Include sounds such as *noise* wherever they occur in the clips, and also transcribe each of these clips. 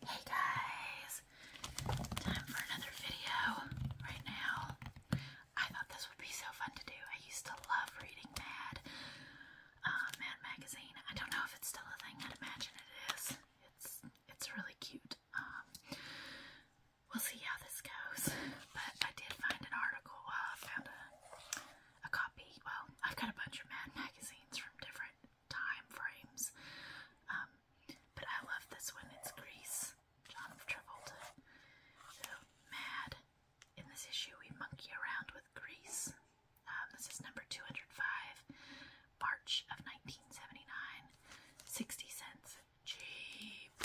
Hey guys, time for another video right now. I thought this would be so fun to do. I used to love reading Mad, uh, Mad magazine. I don't know if it's still a thing. I'd imagine it is. It's it's really cute. Um, we'll see how this goes. But I did find an article. I uh, found a a copy. Well, I've got a bunch of Mad magazines from different time frames. Um, but I love this one. It's Grease, John Travolta. So mad. In this issue, we monkey around with Grease. Um, this is number 205, March of 1979. cents. Cheap.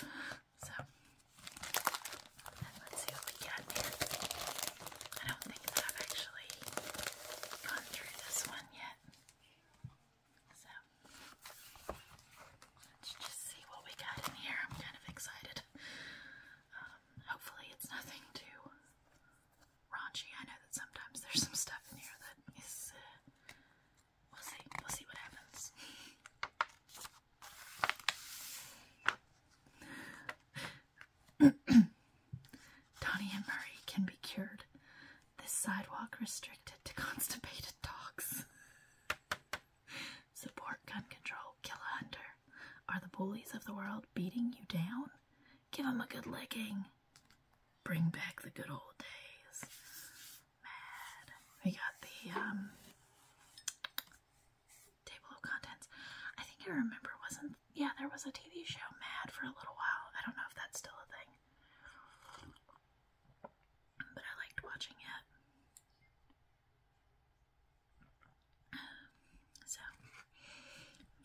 So, let's see what we get here. I don't think I've actually gone through this one yet. So let's just see what we got in here. I'm kind of excited. Um, hopefully, it's nothing too raunchy. I know that sometimes there's some stuff in here that is. Uh, we'll see. We'll see what happens. *laughs* *clears throat* Donnie and Murray can be cured. This sidewalk restricted to *laughs* constipated dogs. *laughs* Support gun control, kill a hunter. Are the bullies of the world beating you down? Give them a good licking. Bring back the good old days. Mad. We got the um, table of contents. I think I remember wasn't yeah, there was a TV show Mad for a little while. I don't know if that's still a thing, but I liked watching it. So,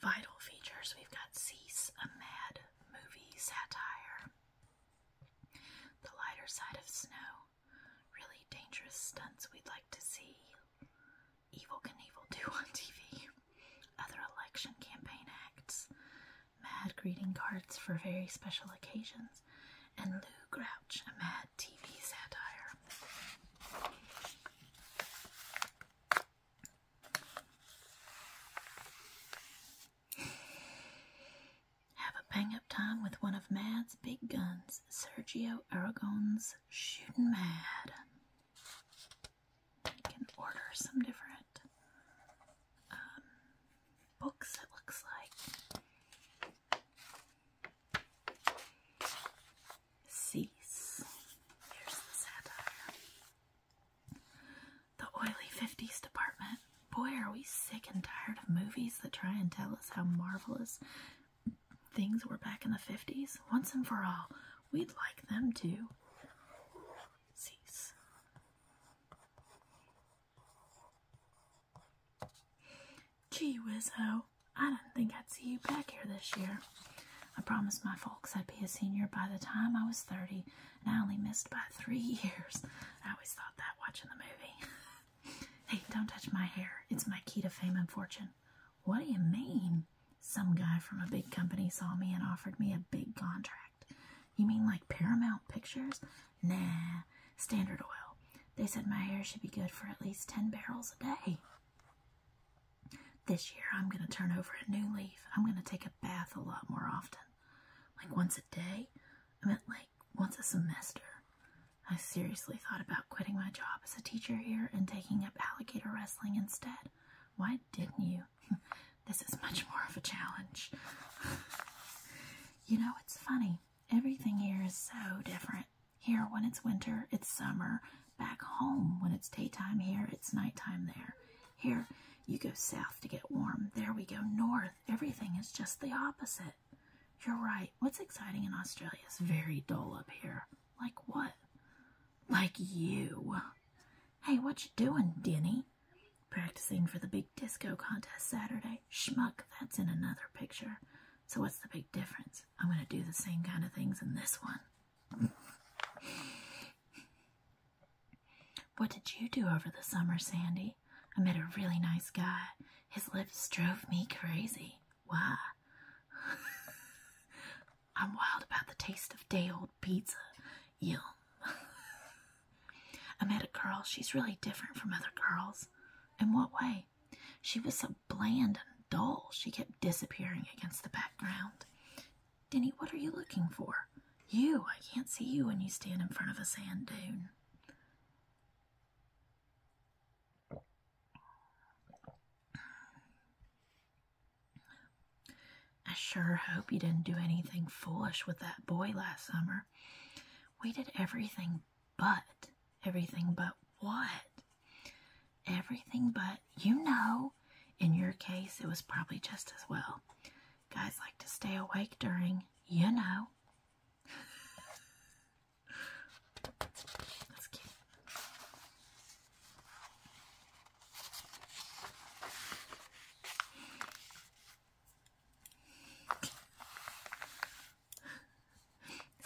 vital features we've got Cease, a mad movie satire, The Lighter Side of Snow, really dangerous stunts we'd like to see Evil Knievel do *laughs* on TV, other election campaign acts, mad greeting cards for very special occasions, and Lou Grouch, a mad TV satire. Have a bang up time with one of Mad's big guns, Sergio Aragon's Shootin' Mad you can order some different um, books, it looks like. Cease. Here's the satire. The oily 50s department. Boy, are we sick and tired of movies that try and tell us how marvelous things were back in the 50s. Once and for all, we'd like them to. Gee whiz ho, I do not think I'd see you back here this year. I promised my folks I'd be a senior by the time I was 30, and I only missed by three *laughs* years. I always thought that watching the movie. *laughs* hey, don't touch my hair. It's my key to fame and fortune. What do you mean? some guy from a big company saw me and offered me a big contract. You mean like Paramount Pictures? Nah, Standard Oil. They said my hair should be good for at least 10 barrels a day. This year I'm going to turn over a new leaf. I'm going to take a bath a lot more often. Like once a day? I meant like once a semester. I seriously thought about quitting my job as a teacher here and taking up alligator wrestling instead. What? didn't you? *laughs* this is much more of a challenge. *laughs* you know, it's funny. Everything here is so different. Here, when it's winter, it's summer. Back home, when it's daytime here, it's nighttime there. Here, you go south to get warm. There we go north. Everything is just the opposite. You're right. What's exciting in Australia is very dull up here. Like what? Like you. Hey, what you doing, Denny? Practicing for the big disco contest Saturday. Schmuck, that's in another picture. So what's the big difference? I'm going to do the same kind of things in this one. *laughs* what did you do over the summer, Sandy? I met a really nice guy. His lips drove me crazy. Why? *laughs* I'm wild about the taste of day old pizza. Yum. *laughs* I met a girl, she's really different from other girls. In what way? She was so bland and dull, she kept disappearing against the background. Denny, what are you looking for? You, I can't see you when you stand in front of a sand dune. I sure hope you didn't do anything foolish with that boy last summer. We did everything but. Everything but what? Everything but, you know, in your case, it was probably just as well. Guys like to stay awake during, you know. *laughs* That's cute.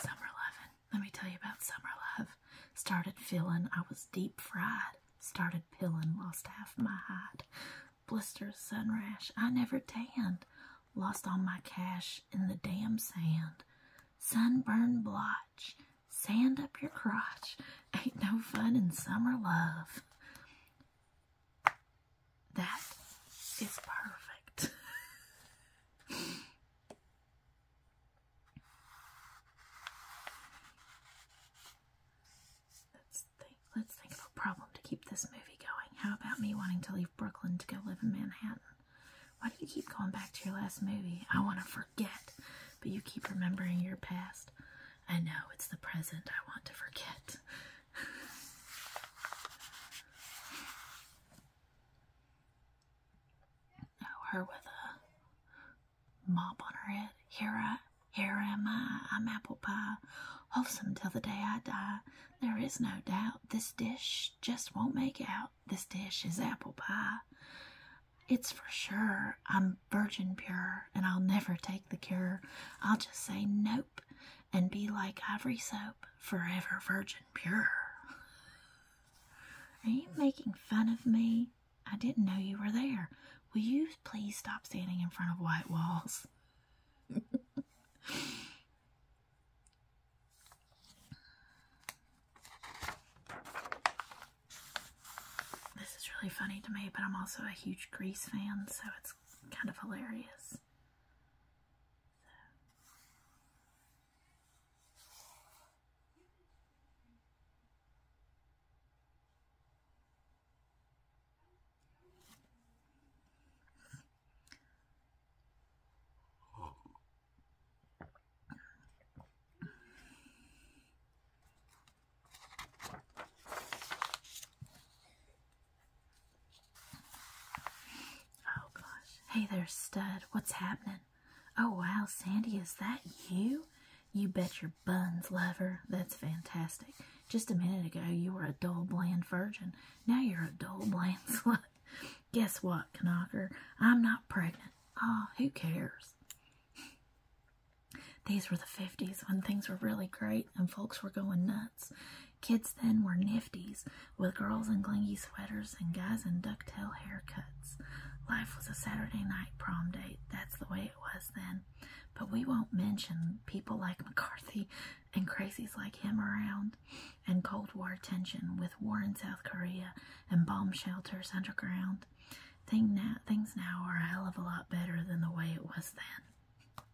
Summer love. Let me tell you about summer love. Started feeling I was deep fried. Started peeling, lost half my hide. Blisters, sun rash, I never tanned. Lost all my cash in the damn sand. Sunburned blotch, Sand up your crotch. Ain't no fun in summer love. That is perfect. let's think let's think of a problem to keep this movie going. How about me wanting to leave Brooklyn to go live in Manhattan? Why do you keep going back to your last movie? I want to forget, but you keep remembering your past past. I know it's the present I want to forget. *laughs* oh, her with a mop on her head. Here I, here am I. I'm apple pie, wholesome till the day I die. There is no doubt this dish just won't make out. This dish is apple pie. It's for sure I'm virgin pure and I'll never take the cure. I'll just say nope and be like ivory soap, forever virgin pure. Are you making fun of me? I didn't know you were there. Will you please stop standing in front of white walls? This is really funny to me, but I'm also a huge Grease fan, so it's kind of hilarious. Oh gosh. Hey there, stud. What's happening? Oh wow, Sandy, is that you? You bet your buns, lover. That's fantastic. Just a minute ago, you were a dull, bland virgin. Now you're a dull, bland *laughs* slut. Guess what, Knocker? I'm not pregnant. Ah, oh, who cares? These were the 50s when things were really great and folks were going nuts. Kids then were nifties, with girls in clingy sweaters and guys in ducktail haircuts. Life was a Saturday night prom date. That's the way it was then. But we won't mention people like McCarthy and crazies like him around, and Cold War tension with war in South Korea and bomb shelters underground. Thing now, things now are a hell of a lot better than the way it was then.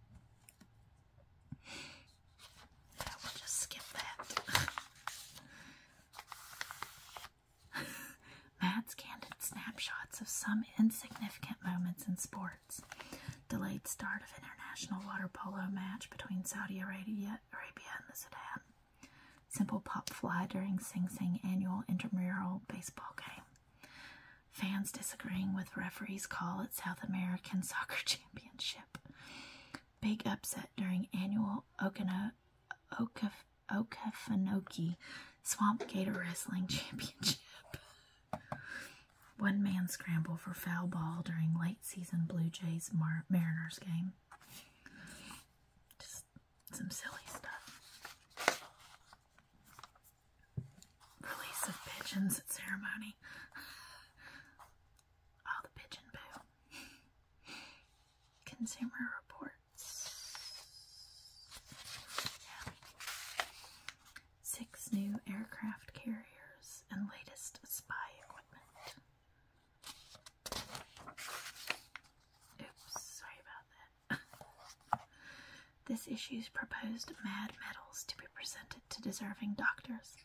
Yeah, we'll just skip that. *laughs* Matt's candid snapshots of some insignificant moments in sports. Delayed start of international water polo match between Saudi Arabia and the Sudan. Simple Pop fly during Sing Sing annual intramural baseball game. Fans disagreeing with referee's call at South American *laughs* Soccer Championship. Big upset during annual Okano, Okafanoki Swamp Gator Wrestling Championship. *laughs* One man scramble for foul ball during late season Blue Jays Mariners game some silly stuff. Release of pigeons at ceremony. *laughs* All the pigeon poo. *laughs* Consumer reports. Six new aircraft carriers and latest spy equipment. Oops, sorry about that. *laughs* this issue's proposed mad medals to be presented to deserving doctors.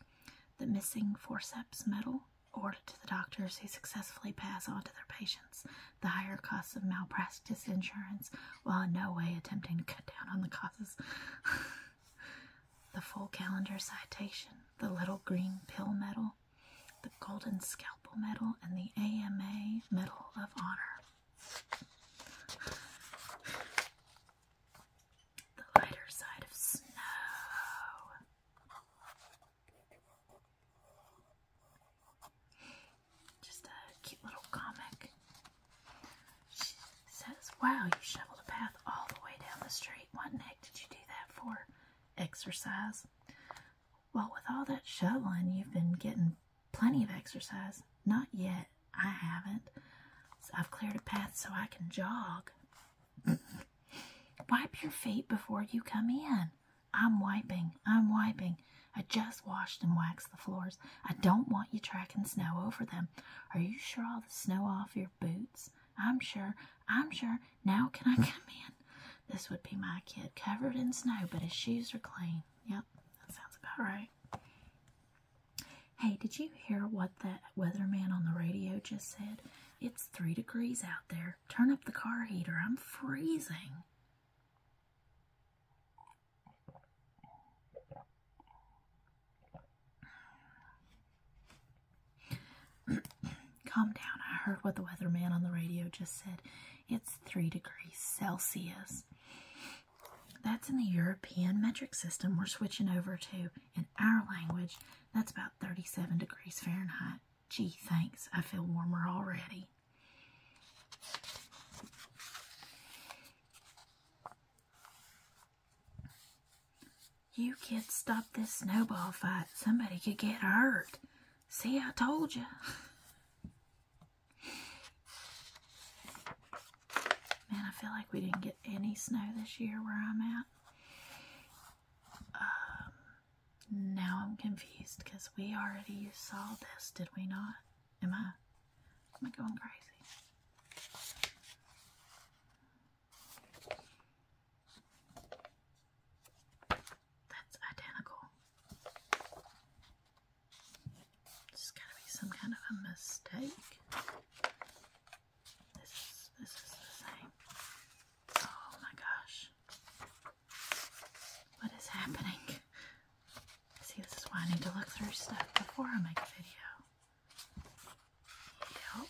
The missing forceps medal, awarded to the doctors who successfully pass on to their patients the higher costs of malpractice insurance while in no way attempting to cut down on the causes. *laughs* the full calendar citation, the little green pill medal, the golden scalp Medal and the AMA Medal of Honor. The lighter side of snow. Just a cute little comic. She says, Wow, you shoveled a path all the way down the street. What neck did you do that for? Exercise. Well, with all that shoveling, you've been getting plenty of exercise. Not yet. I haven't. So I've cleared a path so I can jog. Wipe your feet before you come in. I'm wiping. I'm wiping. I just washed and waxed the floors. I don't want you tracking snow over them. Are you sure all the snow off your boots? I'm sure. I'm sure. Now can I *laughs* come in? *laughs* This would be my kid, covered in snow, but his shoes are clean. Yep, that sounds about right. Hey, did you hear what that weatherman on the radio just said? It's three degrees out there. Turn up the car heater. I'm freezing. *clears throat* Calm down. I heard what the weatherman on the radio just said it's 3 degrees Celsius. That's in the European metric system. We're switching over to, in our language, that's about 37 degrees Fahrenheit. Gee, thanks. I feel warmer already. You kids stop this snowball fight. Somebody could get hurt. See, I told you. *laughs* Man, I feel like we didn't get any snow this year where I'm at. Um, now I'm confused because we already saw this, did we not? Am I? Am I going crazy? that's identical. This has got to be some kind of a mistake. This is, this is the same. Oh my gosh. What is happening? See, this is why I need to look through stuff before I make a video. Yep.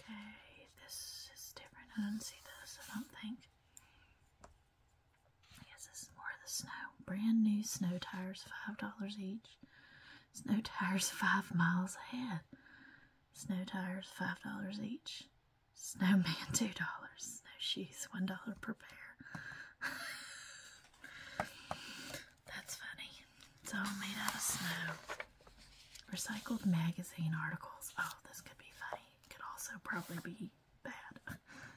Okay, this is different. I didn't see this, I don't think. I guess this is more the snow. Brand new snow tires, $5 each. Snow tires, *laughs* 5 miles ahead. Snow tires, $5 each. Snowman, *laughs* $2. Snow shoes, $1 per pair. *laughs* That's funny. It's all made out of snow. Recycled magazine articles. Oh, this could be funny. could also probably be bad. *laughs*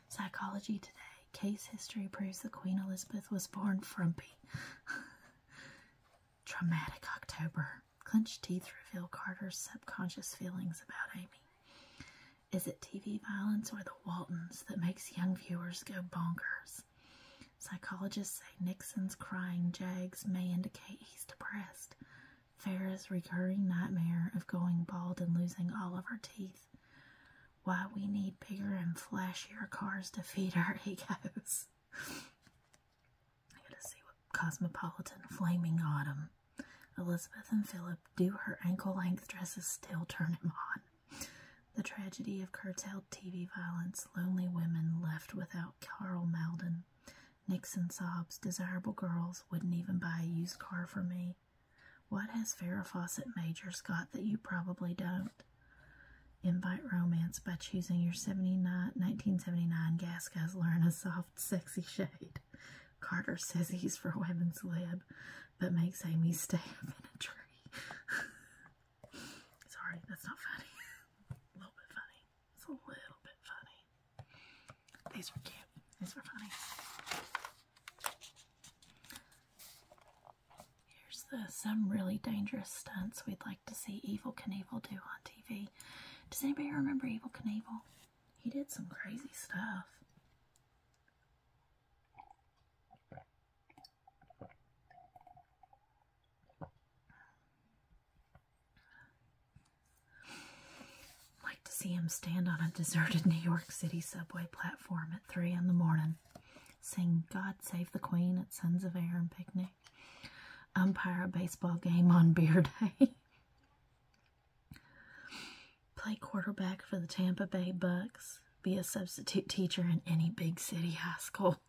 Psychology Today. Case history proves the Queen Elizabeth was born frumpy. *laughs* Traumatic October. Clenched teeth reveal Carter's subconscious feelings about Amy. Is it TV violence or the Waltons that makes young viewers go bonkers? Psychologists say Nixon's crying jags may indicate he's depressed. Farah's recurring nightmare of going bald and losing all of her teeth. Why we need bigger and flashier cars to feed our *laughs* egos. I gotta see what Cosmopolitan Flaming Autumn. Elizabeth and Philip do her ankle length dresses still turn him on. The tragedy of curtailed TV violence, lonely women left without Carl Malden. Nixon sobs, desirable girls wouldn't even buy a used car for me. What has Farrah Fawcett Major Scott, that you probably don't? Invite romance by choosing your 1979 gas guzzler in a soft, sexy shade. Carter says he's for women's lib, but makes Amy stay *laughs* up in a tree. *laughs* Sorry, that's not funny. *laughs* a little bit funny. It's a little bit funny. These were cute. These were funny. Here's some really dangerous stunts we'd like to see Evil can evil do on TV. Does anybody remember Evil Can Evil? He did some crazy stuff. Like to see him stand on a deserted New York City subway platform at three in the morning, sing "God Save the Queen" at Sons of Air and picnic, umpire a baseball game on Beer Day, *laughs* play quarterback for the Tampa Bay Bucks, be a substitute teacher in any big city high school.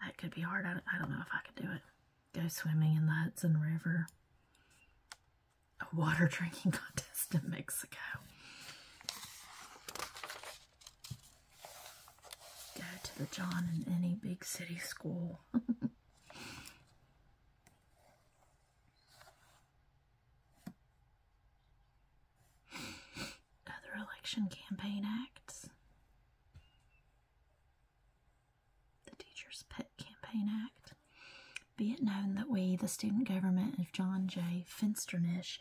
That could be hard. I don't, I don't know if I could do it. Go swimming in the Hudson River. A water *laughs* drinking contest in Mexico. Go to the John in any big city school. *laughs* Other election campaign acts. The Teacher's Pet Campaign Act. Be it known that we, the student government of John J. Finsternish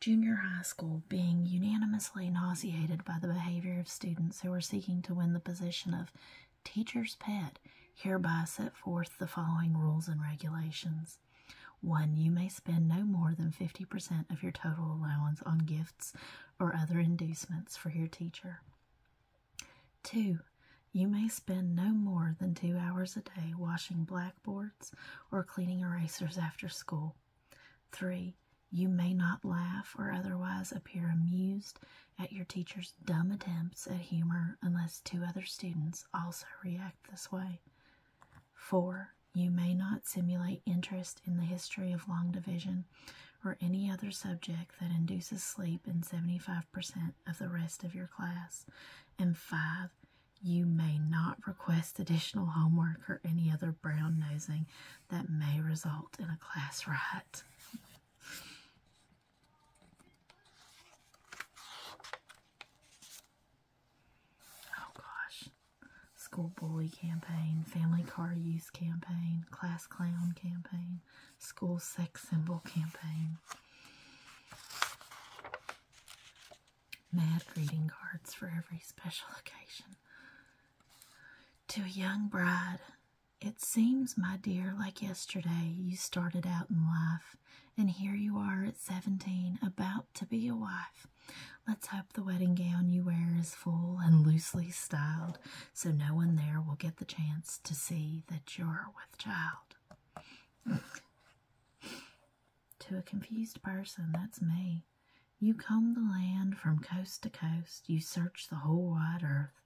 Junior High School, being unanimously nauseated by the behavior of students who are seeking to win the position of teacher's pet, hereby set forth the following rules and regulations. 1. You may spend no more than 50% of your total allowance on gifts or other inducements for your teacher. 2. You may spend no more than two hours a day washing blackboards or cleaning erasers after school. 3. You may not laugh or otherwise appear amused at your teacher's dumb attempts at humor unless two other students also react this way. Four, you may not simulate interest in the history of long division or any other subject that induces sleep in 75% of the rest of your class. And five, you may not request additional homework or any other brown nosing that may result in a class riot. Oh gosh. School bully campaign, family car use campaign, class clown campaign, school sex symbol campaign. Mad greeting cards for every special occasion. To a young bride, it seems, my dear, like yesterday you started out in life, and here you are at 17, about to be your wife. Let's hope the wedding gown you wear is full and loosely styled so no one there will get the chance to see that you're with child. *laughs* to a confused person, that's me. You comb the land from coast to coast, you search the whole wide earth,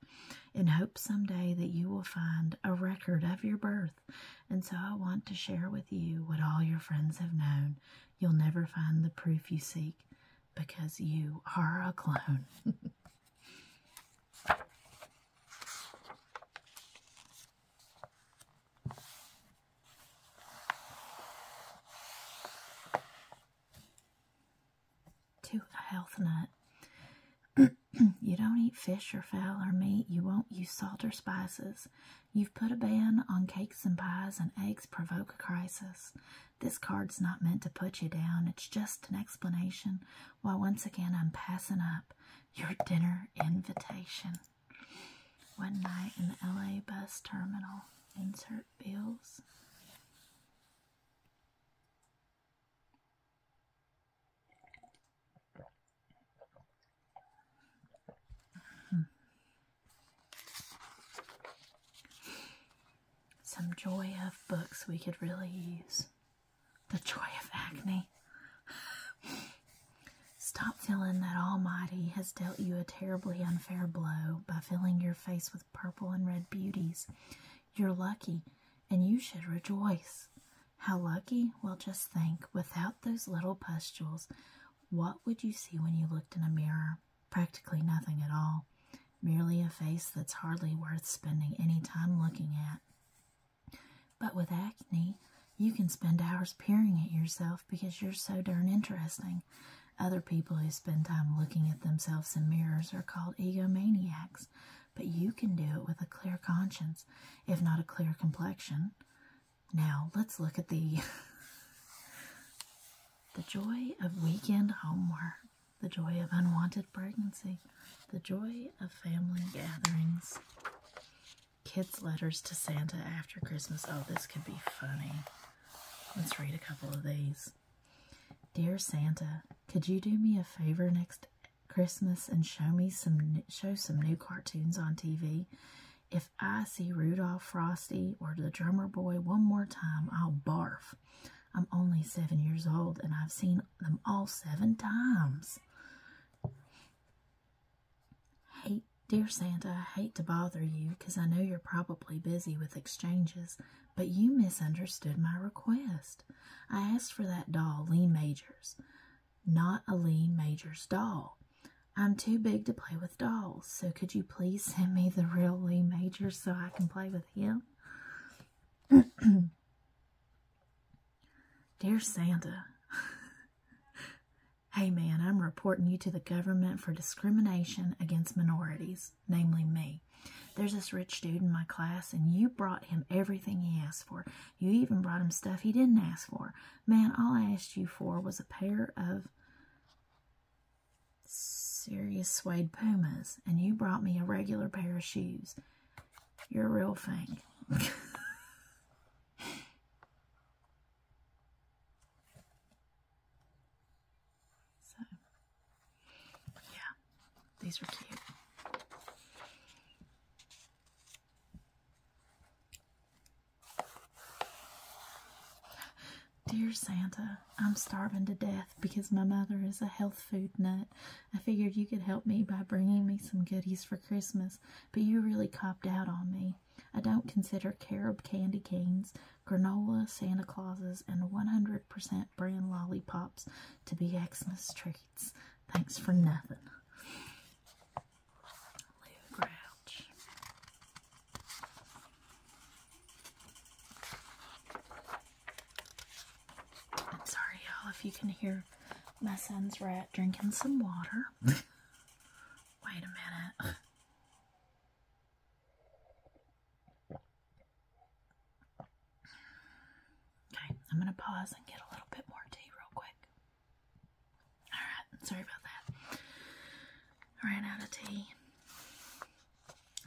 in hope someday that you will find a record of your birth. And so I want to share with you what all your friends have known you'll never find the proof you seek because you are a clone. *laughs* to a health nut. *clears throat* you don't eat fish or fowl or meat. You won't use salt or spices. You've put a ban on cakes and pies and eggs provoke a crisis. This card's not meant to put you down. It's just an explanation why once again I'm passing up your dinner invitation. One night in the LA bus terminal. Insert bills. Hmm. Some joy of books we could really use. The joy of acne. Stop feeling that Almighty has dealt you a terribly unfair blow by filling your face with purple and red beauties. You're lucky, and you should rejoice. How lucky? Well, just think without those little pustules, what would you see when you looked in a mirror? Practically nothing at all, merely a face that's hardly worth spending any time looking at. But with acne, you can spend hours peering at yourself because you're so darn interesting. Other people who spend time looking at themselves in mirrors are called egomaniacs, but you can do it with a clear conscience, if not a clear complexion. Now let's look at the *laughs* the joy of weekend homework, the joy of unwanted pregnancy, the joy of family gatherings. Kids' letters to Santa after Christmas. Oh, this could be funny. Let's read a couple of these. Dear Santa, could you do me a favor next Christmas and show me some show some new cartoons on TV? If I see Rudolph Frosty or the drummer boy one more time, I'll barf. I'm only seven years old and I've seen them all seven times. Hate, dear Santa, I hate to bother you because I know you're probably busy with exchanges, but you misunderstood my request. I asked for that doll, Lee Majors, not a Lee Majors doll. I'm too big to play with dolls, so could you please send me the real Lee Major so I can play with him? *clears throat* Dear Santa, *laughs* hey man, I'm reporting you to the government for discrimination against minorities, namely me. There's this rich dude in my class, and you brought him everything he asked for. You even brought him stuff he didn't ask for. Man, all I asked you for was a pair of serious suede pumas, and you brought me a regular pair of shoes. You're a real fang. *laughs* so, yeah, these are cute. Dear Santa, I'm starving to death because my mother is a health food nut. I figured you could help me by bringing me some goodies for Christmas, but you really copped out on me. I don't consider carob candy canes, granola, Santa Clauses, and 100% brand lollipops to be Xmas treats. Thanks for nothing. I'm sorry, y'all, if you can hear my son's rat drinking some water. *laughs* Wait a minute. Okay, I'm going to pause and get a little bit more tea real quick. Alright, sorry about that. I ran out of tea.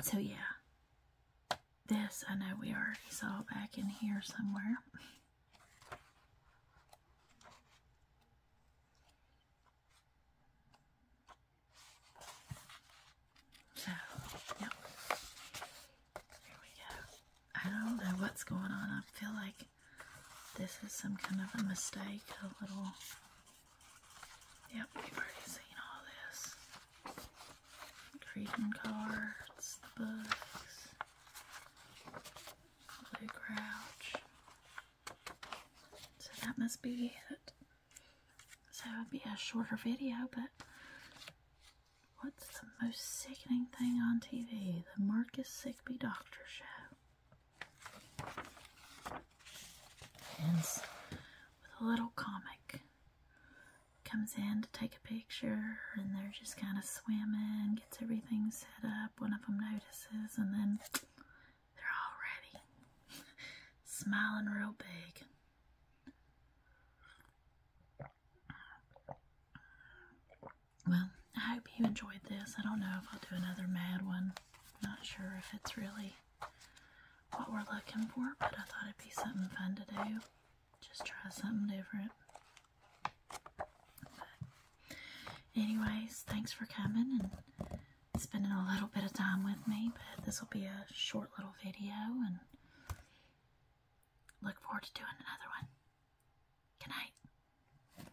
So, yeah. This, I know we already saw back in here somewhere. So, yep. Here we go. I don't know what's going on. I feel like this is some kind of a mistake, a little. Yep, you've already seen all this. Greeting cards, the books, Blue Crouch. So that must be it. So it would be a shorter video, but what's the most sickening thing on TV? The Marcus Sickby Doctor Show with a little comic. Comes in to take a picture, and they're just kind of swimming, gets everything set up. One of them notices, and then they're all ready, *laughs* smiling real big. Well, I hope you enjoyed this. I don't know if I'll do another mad one. Not sure if it's really what we're looking for, but I thought it'd be something fun to do. Just try something different. But anyways, thanks for coming and spending a little bit of time with me. But this will be a short little video and look forward to doing another one. Good night.